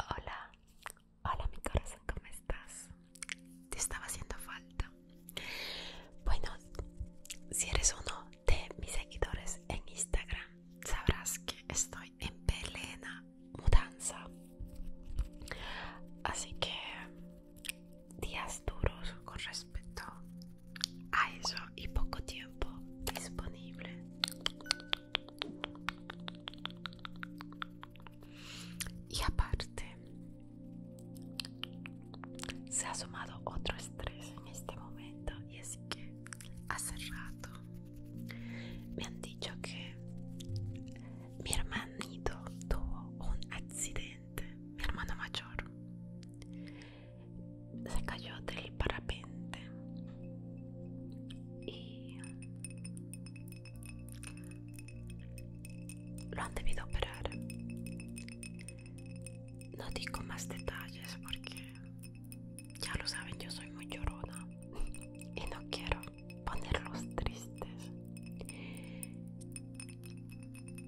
Hola, hola mi corazón, ¿cómo estás? Te estaba haciendo falta. Bueno, si eres uno de mis seguidores en Instagram, sabrás que estoy en plena mudanza. Así que días duros con respecto a eso y poco tiempo disponible. Y aparte, se ha sumado otro estrés en este momento y así que hace rato me han dicho que mi hermanito tuvo un accidente, mi hermano mayor se cayó del parapente y lo han debido operar. No digo más detalles porque ya lo saben, yo soy muy llorona y no quiero ponerlos tristes.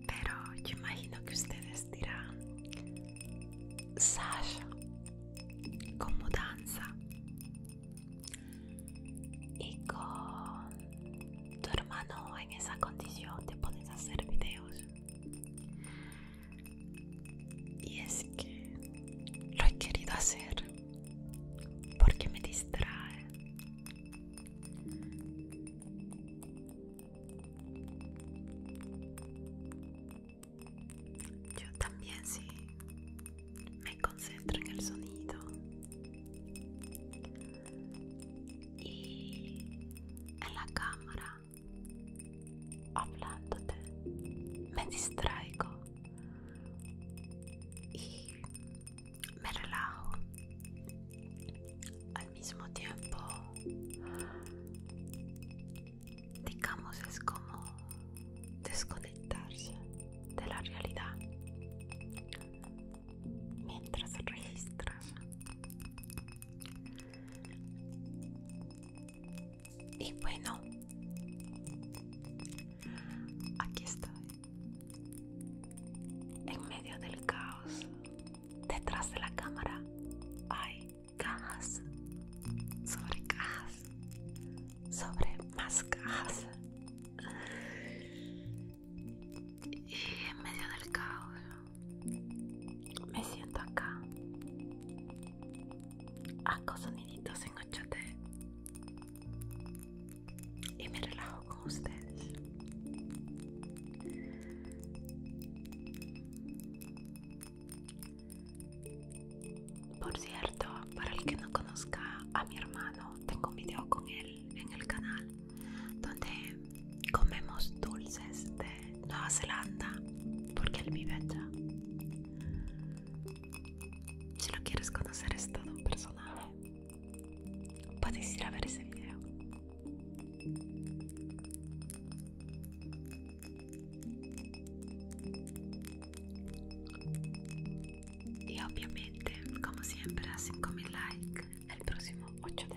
Pero yo imagino que ustedes dirán, Sasha, con mudanza y con tu hermano en esa condición te pones a hacer videos y es que lo he querido hacer porque me distrae yo también sí me concentro en el sonido y en la cámara hablándote me distraigo y me relajo al mismo tiempo digamos es como desconectarse de la realidad mientras registras y bueno aquí estoy en medio del caos detrás de la cámara hay cajas, sobre cajas, sobre más cajas. Y en medio del caos me siento acá. Hago soniditos en ochote y me relajo con ustedes. Por cierto, para el que no conozca a mi hermano, tengo un video con él en el canal donde comemos dulces de Nueva Zelanda porque él vive allá. Si lo quieres conocer es todo un personaje. Puedes ir a ver ese video. Y obviamente, como siempre, a 5000 likes el próximo 8D.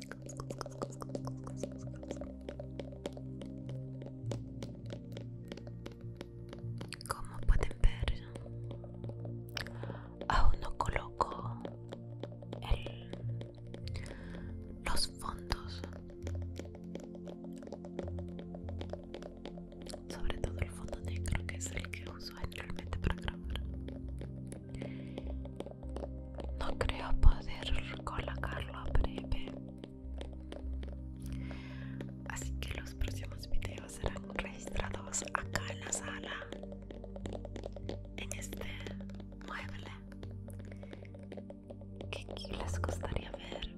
Como pueden ver, aún no coloco los fondos, sobre todo el fondo negro que es el que uso generalmente para grabar. No creo poder colocarlo a breve. Así que los próximos videos serán registrados acá en la sala, en este mueble. ¿Qué les gustaría ver?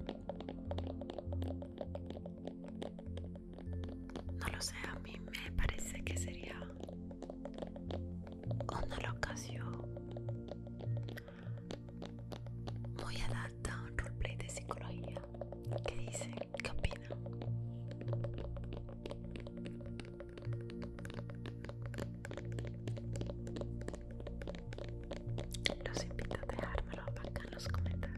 No lo sé, a mí me parece que sería una locación muy adapta a un roleplay de psicología. ¿Qué dice ¿Qué Los invito a dejármelo acá en los comentarios.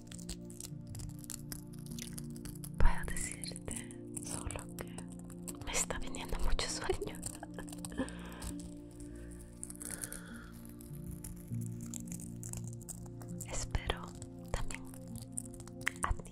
voy a decirte solo que me está viniendo mucho sueño. Espero también a ti.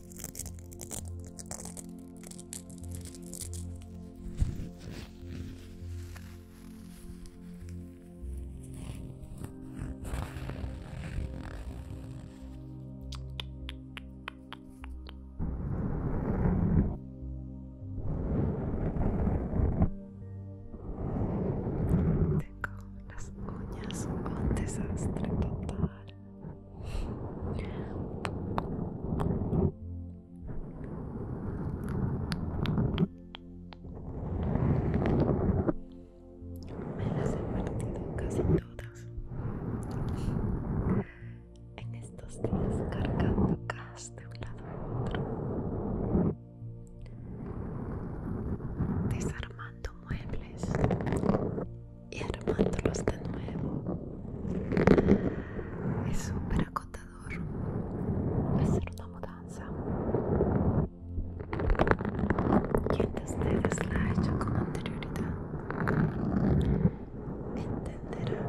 Tengo las uñas un desastre total. Me las he perdido casi todas en estos días cargando gas de un lado a otro, desarmando muebles y armándolos de nuevo es super acotador hacer una mudanza quien de ustedes la ha hecho con anterioridad entenderá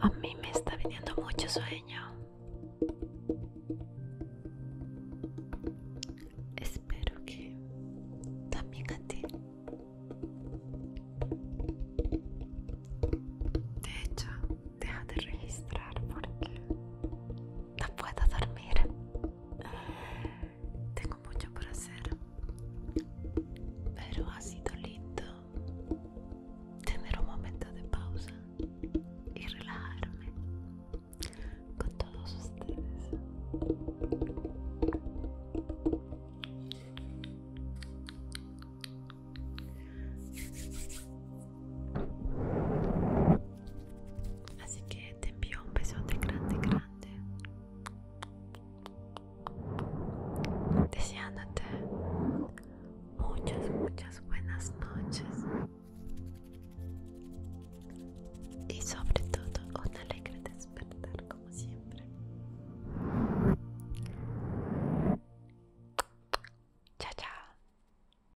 A mí me está viniendo mucho sueño. Espero que también a ti. De hecho, deja de registrar porque no puedo dormir. Tengo mucho por hacer, pero ha sido lindo tener un momento de pausa y relajarme con todos ustedes. Así que te envío un besote grande, grande. Deseándote muchas, muchas buenas noches. Y sobre todo un alegre despertar como siempre. Chao, chao.